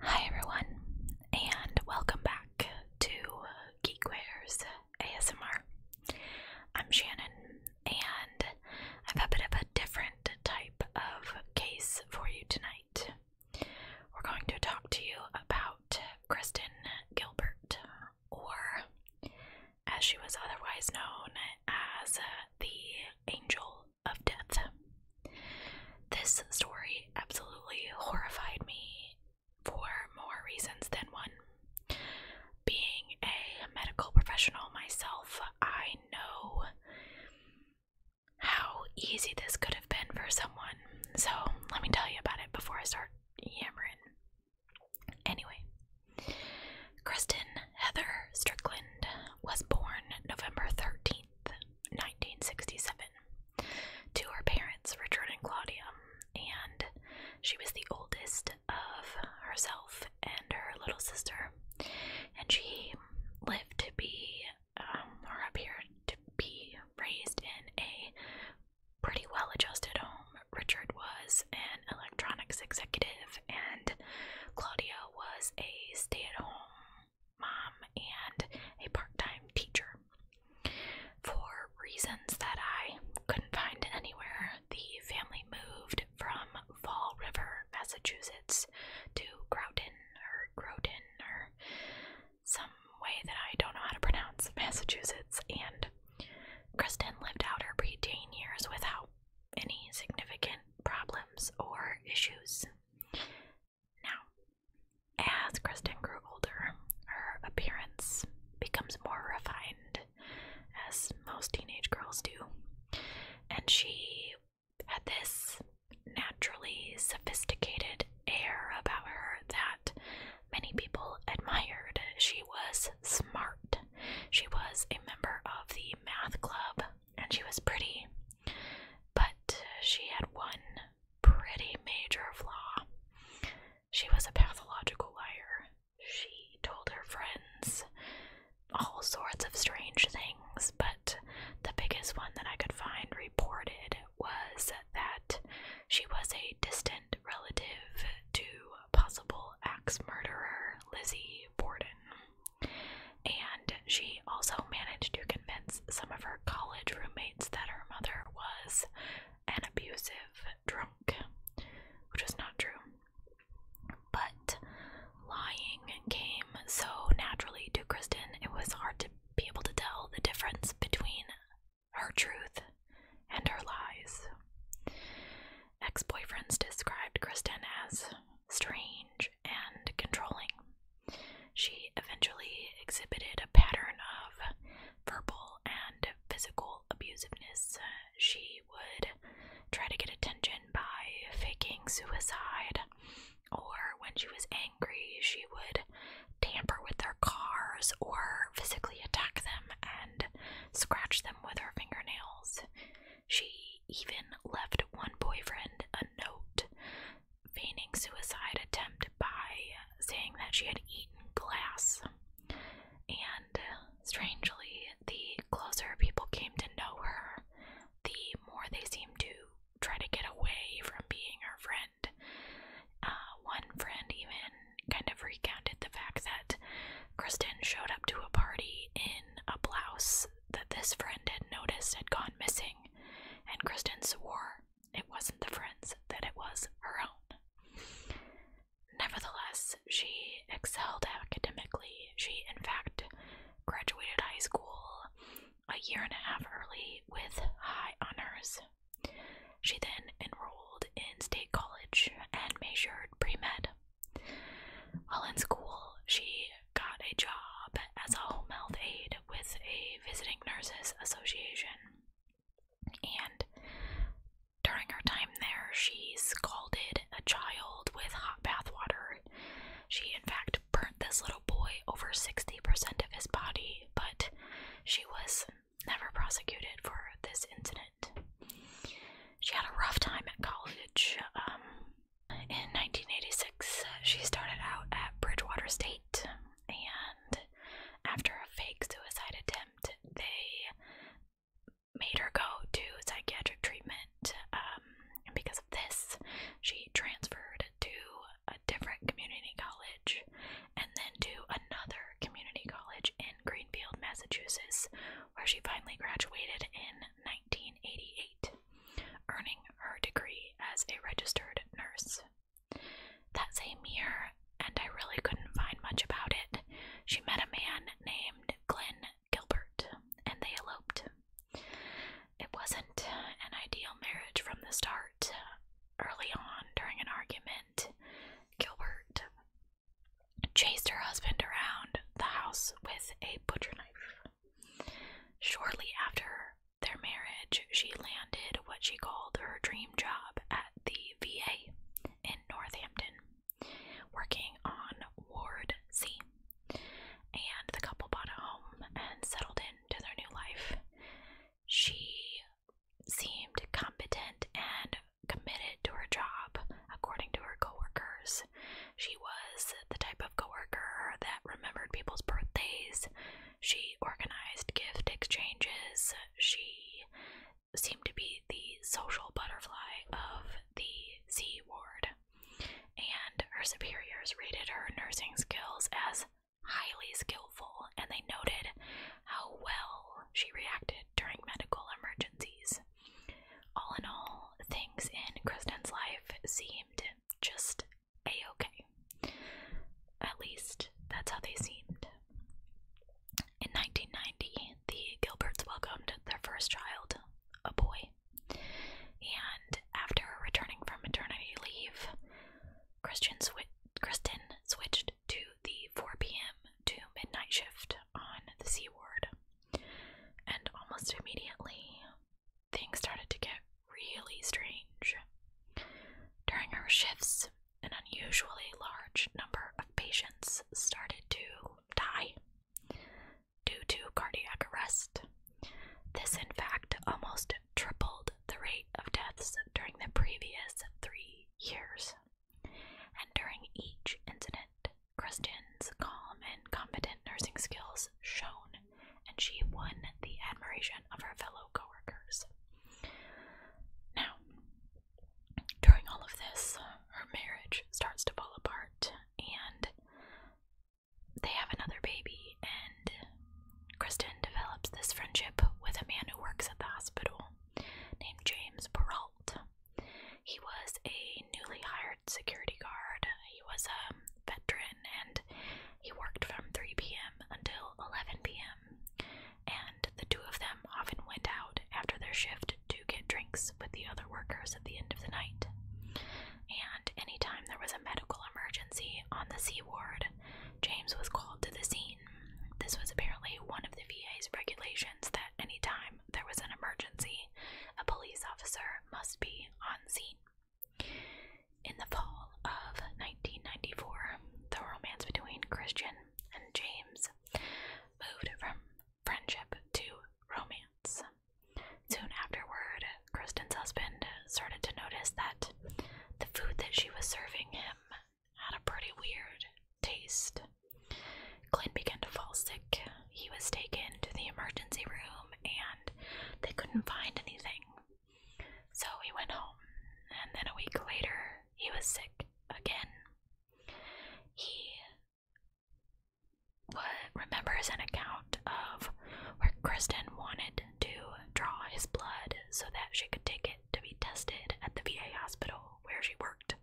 Hi everyone, and welcome back to Geekwares ASMR. I'm Shannon, and I've a bit of a different type of case for you tonight. We're going to talk to you about Kristen Gilbert, or as she was otherwise known as uh, the Angel of death. This story absolutely horrified me for more reasons than one. Being a medical professional myself, I know how easy this could have been for someone. So, let me tell you about it before I start yammering. Anyway, Kristen Heather Strickland was born November 13th, 1967, to her parents Richard and Claudia, and she was the oldest of herself and her little sister. And she lived to be, um, or appeared to be, raised in a pretty well adjusted home. Richard was an electronics executive, and Claudia was a stay at home mom and a part time teacher. For reasons that I couldn't find anywhere, the family moved from Fall River, Massachusetts to Groton or Groton or some way that I don't know how to pronounce Massachusetts. And Kristen lived out her preteen years without any significant problems or issues. Now, as Kristen grew older, her appearance becomes more refined, as most teenage girls do, and she had this naturally sophisticated air about her that many people admired. She was smart. She was a member of the math club, and she was pretty, but uh, she had one pretty major flaw. She was a pathological liar. She told her friends all sorts of strange things, but the biggest one that I could find reported was that she was a distant relative to possible axe murderer Lizzie Borden. And she also managed to convince some of her college roommates that her mother was an abusive drunk, which was not true. But lying came so naturally to Kristen, it was hard to be able to tell the difference between her truth and her lies. Ex boyfriends described Kristen as strange and controlling. She eventually exhibited a pattern of verbal and physical abusiveness. She would try to get attention by faking suicide, or when she was angry, she would tamper with their cars or physically attack them and scratch them with her fingernails. She even left one boyfriend a note feigning suicide attempt by saying that she had eaten glass. And strangely, the closer people came to know her, the more they seemed to try to get away from being her friend. Uh, one friend even kind of recounted the fact that Kristen showed up to a party in a blouse that this friend had noticed had gone missing, and Kristen swore it wasn't the friend's, that it was her own. Nevertheless, she excelled academically. She, in fact, graduated high school a year and a half early with high honors. She then enrolled in state college and majored pre med. While in school, she got a job as a home health aide with a visiting nurses association. And during her time there, she scalded a child with hot bath water. She, in fact, burnt this little boy over 60% of his body, but she was never prosecuted for this incident. She had a rough time at college. Um, in 1986, uh, she started out at Bridgewater State, and after a fake suicide attempt, they made her go to psychiatric treatment. Um, and because of this, she transferred to a different community college and then to another community college in Greenfield, Massachusetts, where she finally graduated in 1988, earning her degree as a registered nurse. That same year, and I really couldn't find much about it, she met a man named Glenn Gilbert, and they eloped. It wasn't an ideal marriage from the start. Early on, during an argument, Gilbert chased her husband around the house with a butcher knife. Shortly after their marriage, she landed what she called her dream job at the VA in Northampton, working on Ward C. And the couple bought a home and settled into their new life. She seemed competent and committed to her job, according to her coworkers. She was the type of coworker that remembered people's birthdays. She organized gift exchanges. She seemed to be the social butterfly of the C ward. And her superiors rated her nursing skills as highly skillful, and they noted how well she reacted during medical emergencies. All in all, things in Kristen's life seemed just a okay. At least that's how they seemed. In 1990, the Gilberts welcomed their first child, a boy. And after returning from maternity leave, Kristen switched to the 4 p.m. to midnight shift on the seaward, And almost immediately, things started to get really strange. During our shifts, an unusually large number of patients started to die due to cardiac arrest. This, in fact, almost tripled the rate of deaths during the previous three years during each incident, Kristen's calm and competent nursing skills shone, and she won the admiration of her fellow coworkers. Now, during all of this, her marriage starts to fall apart, and they have another baby, and Kristen develops this friendship with a man who works at the hospital named James Perrault. He was a newly hired security guard. He was a veteran and he worked from 3 p.m. until 11 p.m. And the two of them often went out after their shift to get drinks with the other workers at the end of the night. And anytime there was a medical emergency on the C ward, James was called to the scene. This was apparently one of the VA's regulations that any time there was an emergency, a police officer must be on scene. In the fall of 1994, the romance between Christian and James moved from friendship to romance. Soon afterward, Kristen's husband started to notice that the food that she was serving him had a pretty weird taste. Glenn began to fall sick. He was taken to the emergency room and they couldn't find anything. So he went home, and then a week later, he was sick again. He remembers an account of where Kristen wanted to draw his blood so that she could take it to be tested at the VA hospital where she worked.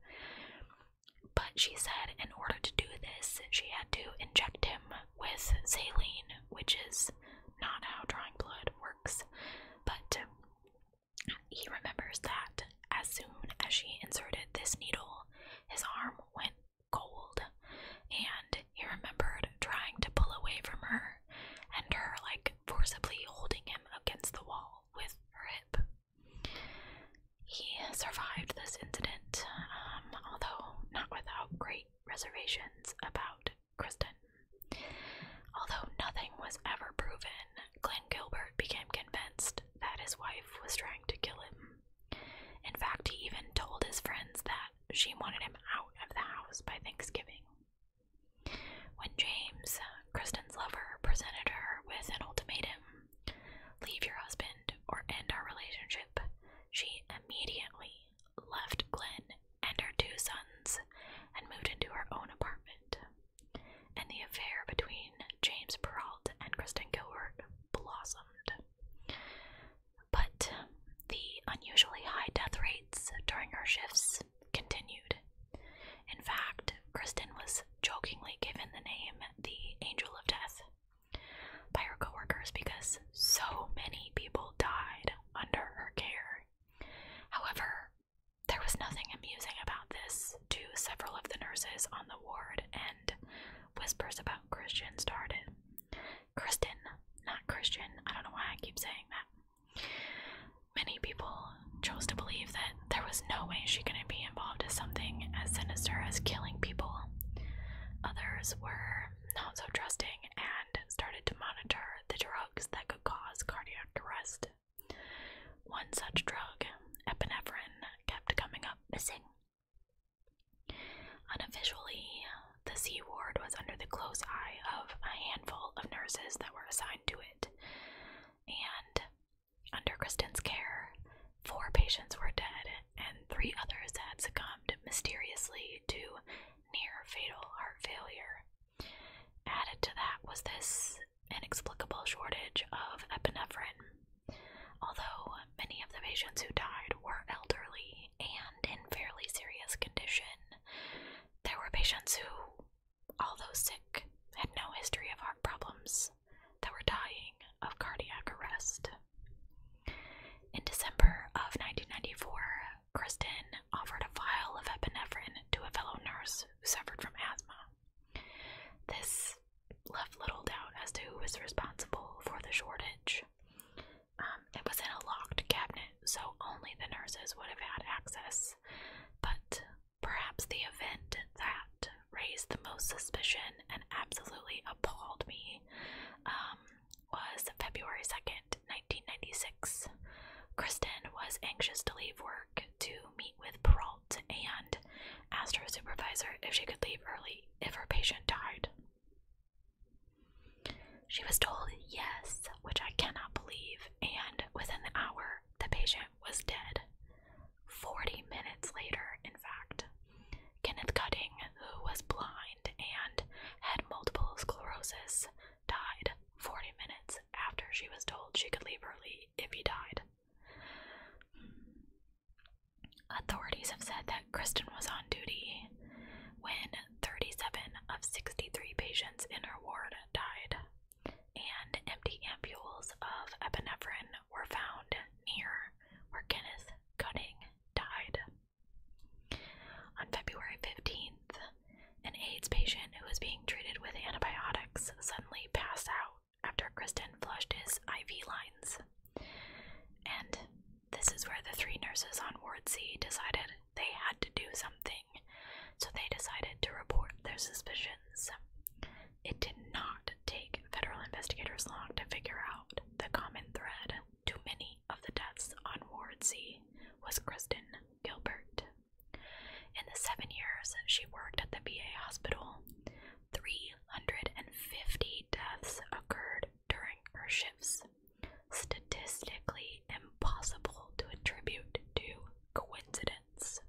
But she said in order to do this, she had to inject him with saline, which is not how drawing blood works. But he remembers that as soon as she inserted this needle, his arm went cold, and he remembered trying to pull away from her and her, like, forcibly holding him against the wall with her hip. He survived this incident, um, although not without great reservations about Kristen. Although nothing was ever proven, Glenn Gilbert became convinced that his wife was trying to kill him. In fact, he even told his friends that she wanted him out of the house by Thanksgiving. When James Kristen's lover presented her with an ultimatum leave your husband or end our relationship. She immediately left Glenn and her two sons and moved into her own apartment. And the affair between James Peralt and Kristen Gilbert blossomed. But the unusually high death rates during her shifts continued. In fact, Kristen was jokingly given the name the Angel of Death by her coworkers because so many people died under her care. However, there was nothing amusing about this to several of the nurses on the ward, and whispers about Kristen started. Kristen, not Christian, I don't know why I keep saying that. Many people chose to believe that there was no way she could be involved in something as sinister as killing people. Others were not so trusting and started to monitor the drugs that could cause cardiac arrest. One such drug, epinephrine, kept coming up missing. Unofficially, the C ward was under the close eye of a handful of nurses that were assigned to it and under Kristen's care, four patients were dead and three others had succumbed mysteriously to near fatal heart failure. Added to that was this inexplicable shortage of epinephrine. Although many of the patients who died were elderly and in fairly serious condition, there were patients who although sick, had no history of heart problems that were dying of cardiac arrest. In December of 1994, Kristen offered a vial of epinephrine to a fellow nurse who suffered from asthma. This left little doubt as to who was responsible for the shortage. Um, it was in a locked cabinet, so only the nurses would have had access. But Perhaps the event that raised the most suspicion and absolutely appalled me um, was February 2nd, 1996. Kristen was anxious to leave work to meet with Peralt and asked her supervisor if she could leave early if her patient died. She was told yes, which I cannot believe, and within the hour, the patient was dead. 40 minutes later, in fact, Kenneth Cutting, who was blind and had multiple sclerosis, died 40 minutes after she was told she could leave early if he died. Authorities have said that Kristen was on duty when 37 of 63 patients in her ward died and empty ampules of epinephrine were found near where Kenneth Cutting died. On February 15th, an AIDS patient who was being treated with antibiotics suddenly passed out after Kristen flushed his IV lines. And this is where the three nurses on Ward C decided they had to do something, so they decided to report their suspicions. It did not take federal investigators long to figure out the common thread to many of the deaths on Ward C was Kristen Gilbert. In the seven years she worked at the VA hospital, 350 deaths occurred during her shifts, statistically impossible to attribute to coincidence.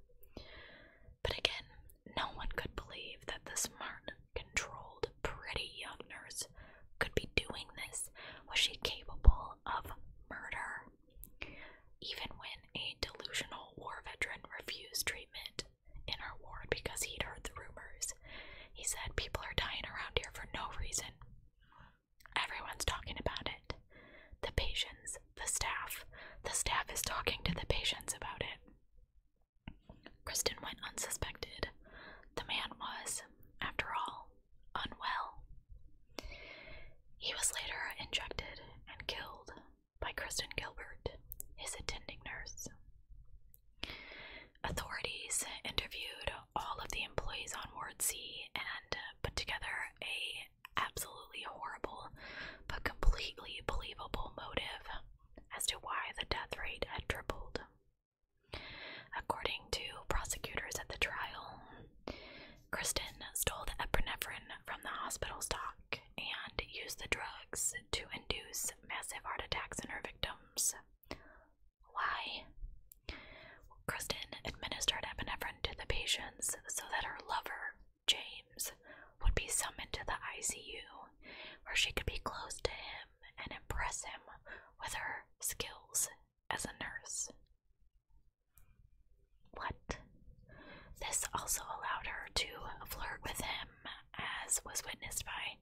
But again, no one could believe that the smart, controlled, pretty young nurse could be doing this. Was she capable of murder? Even when a delusional war veteran refused treatment in our ward because he'd heard the rumors, he said, People are dying around here for no reason. Everyone's talking about it. The patients, the staff. The staff is talking to the patients about it. Kristen went unsuspected. The man was, after all, unwell. He was later injected and killed by Kristen Gilbert, his attending nurse. Authorities interviewed all of the employees on Ward C and put together a absolutely horrible but completely believable motive as to why the death rate had tripled. According to prosecutors at the trial, Kristen stole the epinephrine from the hospital stock and used the drugs to induce massive heart attacks in her victims. Why? Kristen administered epinephrine to the patients so that her lover, James, would be summoned to the ICU where she could be close to him and impress him with her skills as a nurse. What? This also allowed her to flirt with him, as was witnessed by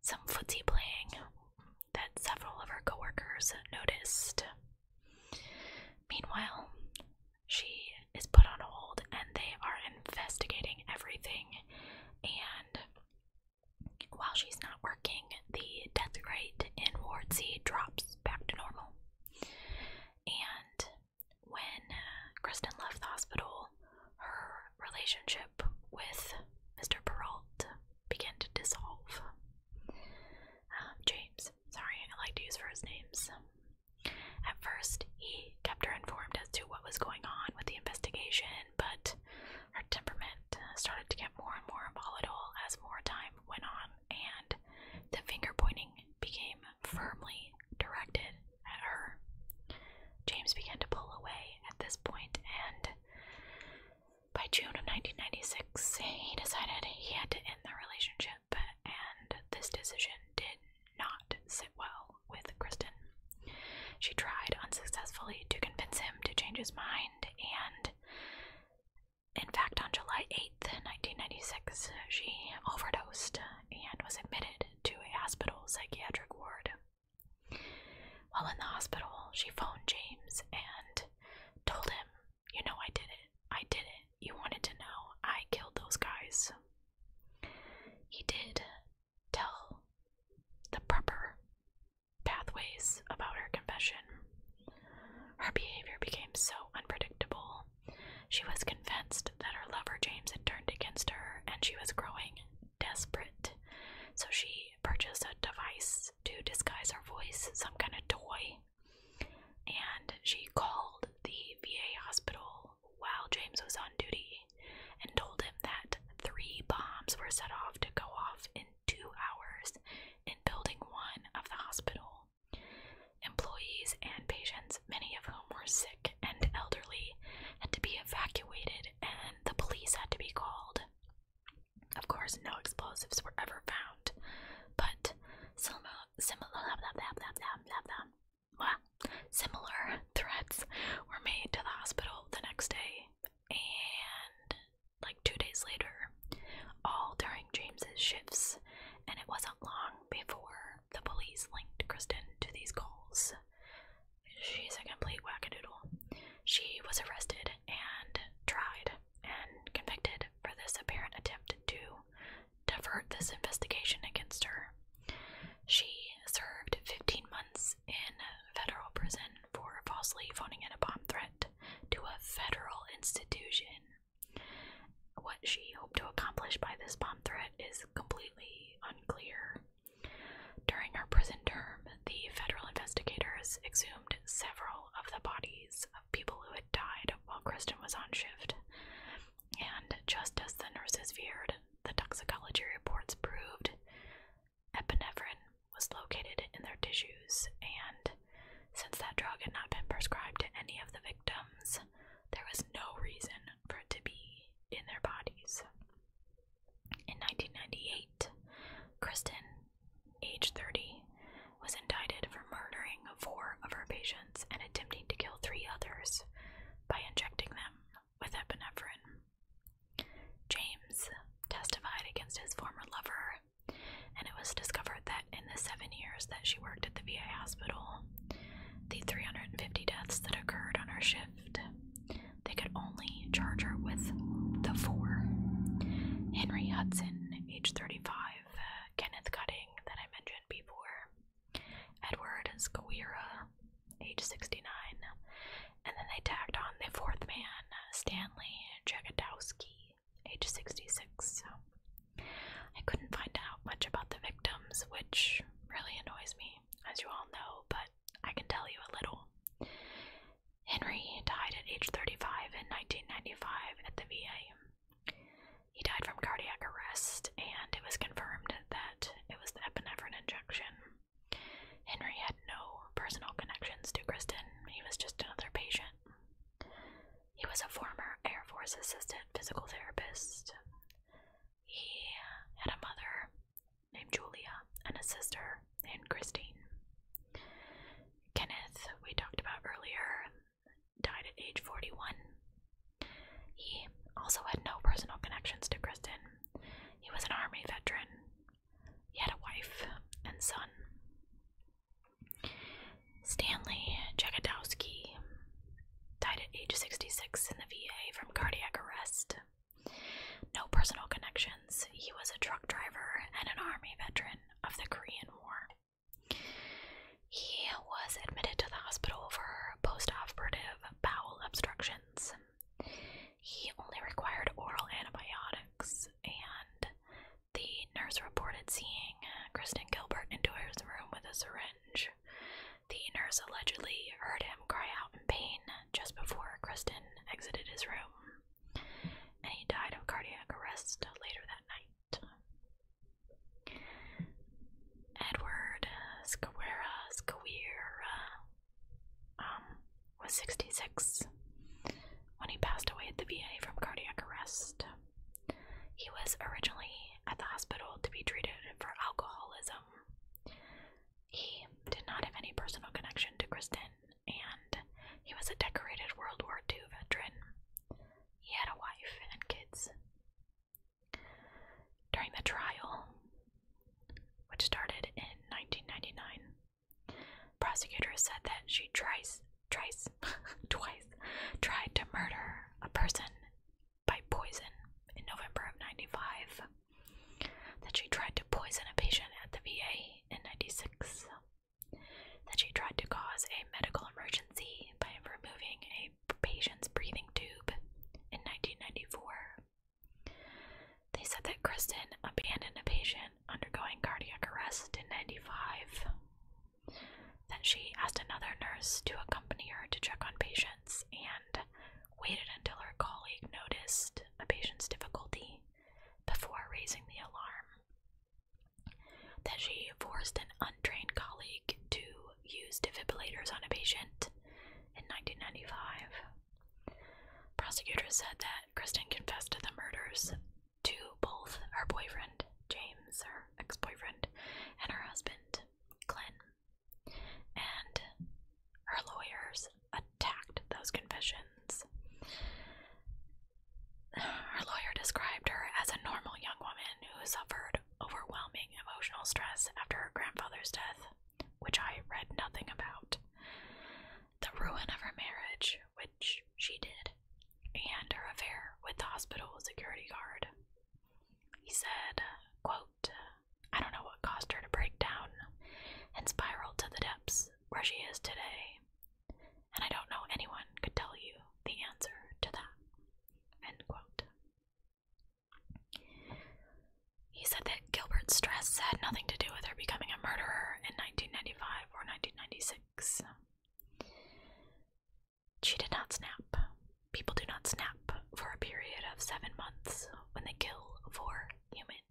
some footsie playing that several of her coworkers noticed. Meanwhile, she is put on hold and they are investigating everything. And while she's not working, the death rate in Ward C drops back to normal. And when Kristen left the hospital, her relationship with Mr. Peralt began to dissolve. Um, James, sorry, I like to use first names. At first, he kept her informed as to what was going on with the investigation, but her temperament uh, started to get more and more volatile as more time went on, and the finger pointing became firmly directed at her. James began to pull away at this point, and by June of 1996, he decided he had to end the relationship, and this decision did not sit well with Kristen. She tried unsuccessfully to convince him to change his mind, and in fact, on July 8th, 1996, she overdosed and was admitted to a hospital psychiatric ward. While in the hospital, she phoned James and told him, You know, I did it. I did it. You wanted to know. I killed those guys. He did tell the proper pathways about her confession. Her behavior became so unpredictable. She was convinced that her lover James had turned against her and she was growing desperate. So she purchased a device to disguise her voice, some kind of toy. And she called the VA hospital while James was on duty and told him that three bombs were set off to go off in two hours in Building 1 of the hospital. Employees and patients, many of whom were sick and elderly, had to be evacuated and the police had to be called. Of course, no explosives were ever found, but similar, threats were made to the hospital the next day and like two days later, all during James's shifts, and it wasn't long before the police linked Kristen to these calls. She's a complete wackadoodle. She was arrested and tried and convicted for this apparent attempt to divert this investigation against her. She served 15 months in federal prison for falsely phoning a bomb threat to a federal institution. What she hoped to accomplish by this bomb threat is completely unclear. During her prison term, the federal investigators exhumed several of the bodies of people who had died while Kristen was on shift. And just as the nurses feared, the toxicology reports proved epinephrine was located in their tissues, and since that drug had not been prescribed to any of the victims, there was no reason for it to be in their bodies. In 1998, Kristen, age 30, was indicted for murdering four of her patients and attempting to kill three others by injecting them with epinephrine. James testified against his former lover, and it was discovered that in the seven years that she worked at the VA hospital, the 350 deaths that occurred on her shift they could only charge her with the four Henry Hudson, age 35, uh, Kenneth Cutting, that I mentioned before, Edward Squira, age 69, and then they tagged on the fourth man, Stanley Jagodowski, age 66. So I couldn't find out much about the victims, which really annoys me, as you all know, but I can tell you a little. Henry died at age 35 in 1995 at the VA. He died from cardiac arrest, and it was confirmed that it was the epinephrine injection. Henry had no personal connections to Kristen, he was just another patient. He was a former Air Force assistant physical therapist. He had a mother named Julia and a sister named Christine. Kenneth, we talked about earlier, died at age 41. He also had no personal connections to Kristen. He was an army veteran. He had a wife and son. Stanley Jagodowski died at age 66 in the VA from cardiac arrest. No personal connections. He was a truck driver and an army veteran of the Korean War. He was admitted to the hospital for postoperative bowel obstructions. He only required oral antibiotics, and the nurse reported seeing Kristen Gilbert enter his room with a syringe. The nurse allegedly heard him cry out in pain just before Kristen exited his room and he died of cardiac arrest later that night. Edward Scaguera um, was 66 when he passed away at the VA from cardiac arrest. He was originally at the hospital to be treated for alcoholism. He did not have any personal connection to Kristen and he was a decorated World War II veteran. He had a wife and kids. During the trial, which started in 1999, prosecutors said that she tries, tries, twice tried to murder a person by poison in November of 95 that she tried to poison a patient at the VA in 96, that she tried to cause a medical emergency by removing a patient's breathing tube in 1994. They said that Kristen abandoned a patient undergoing cardiac arrest in 95, that she asked another nurse to accompany her to check on patients and waited until her colleague noticed a patient's difficulty before raising the alarm. That she forced an untrained colleague to use defibrillators on a patient in 1995. Prosecutors said that Kristen confessed to the murders to both her boyfriend, James, her ex boyfriend, and her husband, Glenn, and her lawyers attacked those confessions. Her lawyer described her as a normal young woman who suffered overwhelming emotional stress after her grandfather's death, which I read nothing about. The ruin of her marriage, which she did, and her affair with the hospital security guard. He said, quote, I don't know what caused her to break down and spiral to the depths where she is today. And I don't know anyone could tell you the answer to that. End quote. He said that Gilbert's stress had nothing to do with her becoming a murderer in 1995 or 1996. She did not snap. People do not snap for a period of seven months when they kill four human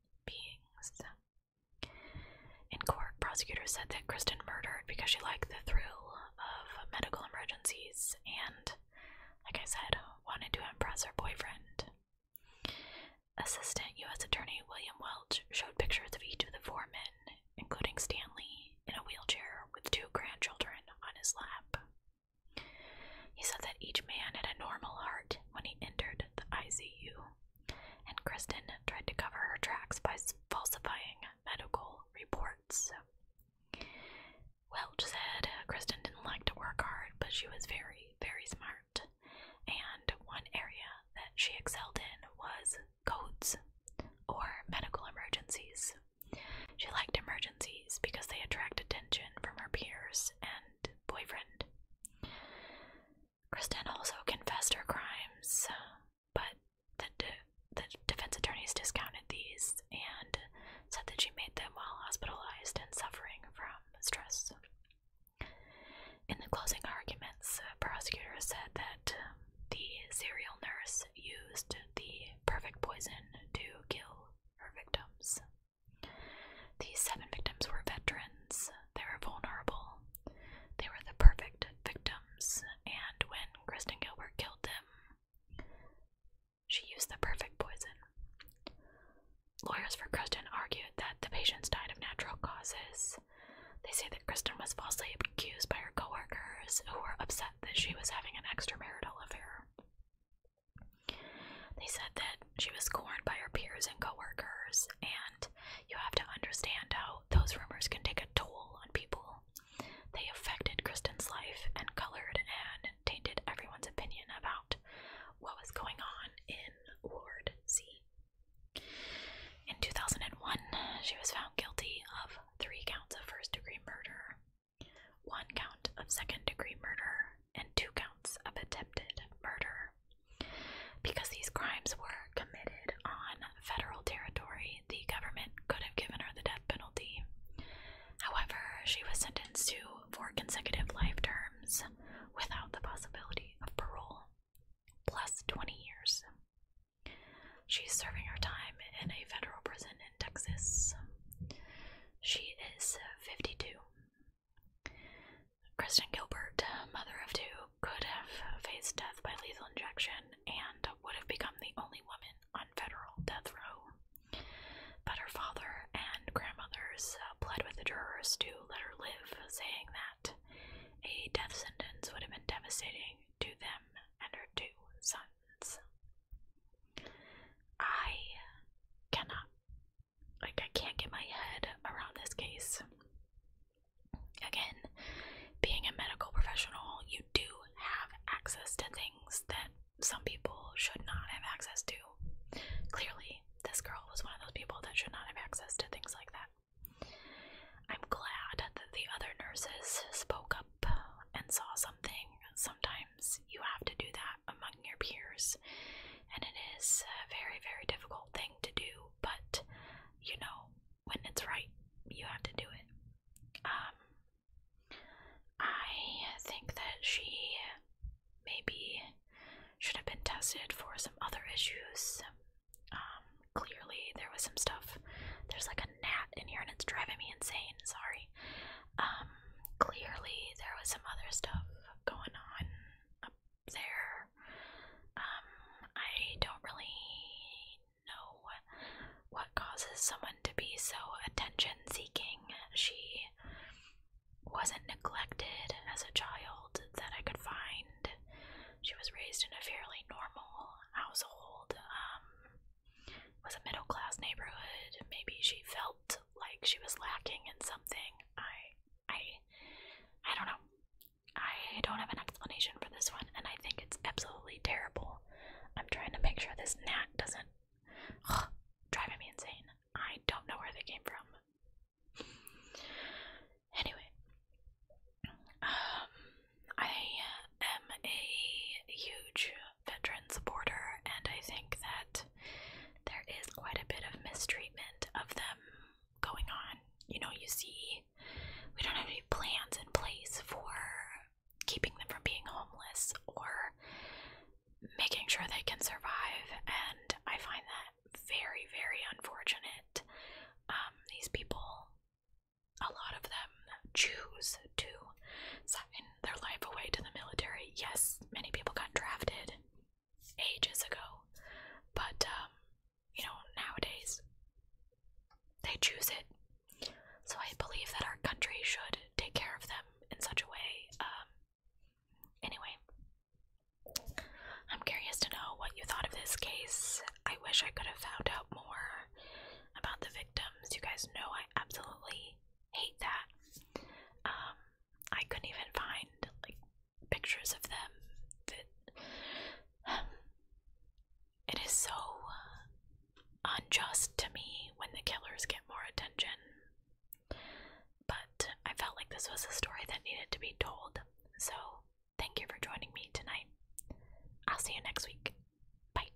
in court, prosecutors said that Kristen murdered because she liked the thrill of medical emergencies and, like I said, wanted to impress her boyfriend. Assistant U.S. Attorney William Welch showed pictures of each of the four men, including Stanley, in a wheelchair with two grandchildren on his lap. He said that each man had a normal heart when he entered the ICU, and Kristen tried to cover her tracks by falsifying medical reports. Welch said Kristen didn't like to work hard, but she was very, very smart. And one area that she excelled in was codes or medical emergencies. She liked emergencies because they attract attention from her peers and boyfriend. Kristen also confessed her crimes, uh, but the, the defense attorneys discounted these and said that she made them while hospitalized and suffering from stress. In the closing arguments, the prosecutor said that um, the serial nurse used the perfect poison to kill her victims. These seven victims were veterans. They were vulnerable. They were the perfect victims, and when Kristen Gilbert killed them, she used the perfect poison. Lawyers for Kristen argued that the patients died of natural causes. They say that Kristen was falsely accused by her coworkers who were upset that she was having an extramarital affair. They said that she was scorned by her peers and coworkers, and you have to understand how those rumors can take a toll on people. They affected Kristen's life and colored and tainted everyone's opinion about what was going on in Ward C. In 2001, she was found guilty of three counts of first degree murder, one count of second degree murder, and two counts of attempted murder. Because these crimes were committed on federal territory, the government could have given her the death penalty. However, she was sentenced to four consecutive life terms without the possibility of parole, plus 20 years. She's serving her time in a federal prison in Texas. She is 52 Kristen Gilbert, mother of two, could have faced death by lethal injection and would have become the only woman on federal death row. But her father and grandmothers uh, pleaded with the jurors to let her live, saying that a death sentence would have been devastating to them and her two sons. I cannot. Like, I can't get my head around this case. Again, being a medical professional, you do have access to things that some people should not have access to. Clearly, this girl was one of those people that should not have access to things like that. I'm glad that the other nurses spoke up and saw something. Sometimes you have to do that among your peers, and it is a very, very difficult thing to do, but you know, when it's right, you have to do it. Um, I think that she maybe should have been tested for some other issues. Um, clearly, there was some stuff. There's like a gnat in here and it's driving me insane. Sorry. Um, clearly there was some other stuff going on up there. Um, I don't really know what causes someone to be so attention seeking. She wasn't neglected as a child that I could find. She was raised in a fairly normal household. Um, was a middle class neighborhood. Maybe she felt like she was lacking in something. I I I don't know. I don't have an explanation for this one and I think it's absolutely terrible. I'm trying to make sure this gnat doesn't driving me insane. I don't know where they came from. Anyway, um, I am a huge veteran supporter, and I think that there is quite a bit of mistreatment of them going on. You know, you see, we don't have any plans in place for keeping them from being homeless or making sure they can survive, and I find that very, very unfortunate. Um, these people, a lot of them choose to sign their life away to the military. Yes, many people got drafted ages ago, but um, you know, nowadays they choose it. So I believe that our country should take care of them in such a way. Um, anyway, I'm curious to know what you thought of this case. I wish I could have found out more about the victims. You guys know I absolutely hate that. Um, I couldn't even find like pictures of them. That um, it is so unjust to me when the killers get more attention. But I felt like this was a story that needed to be told. So thank you for joining me tonight. I'll see you next week. Bye.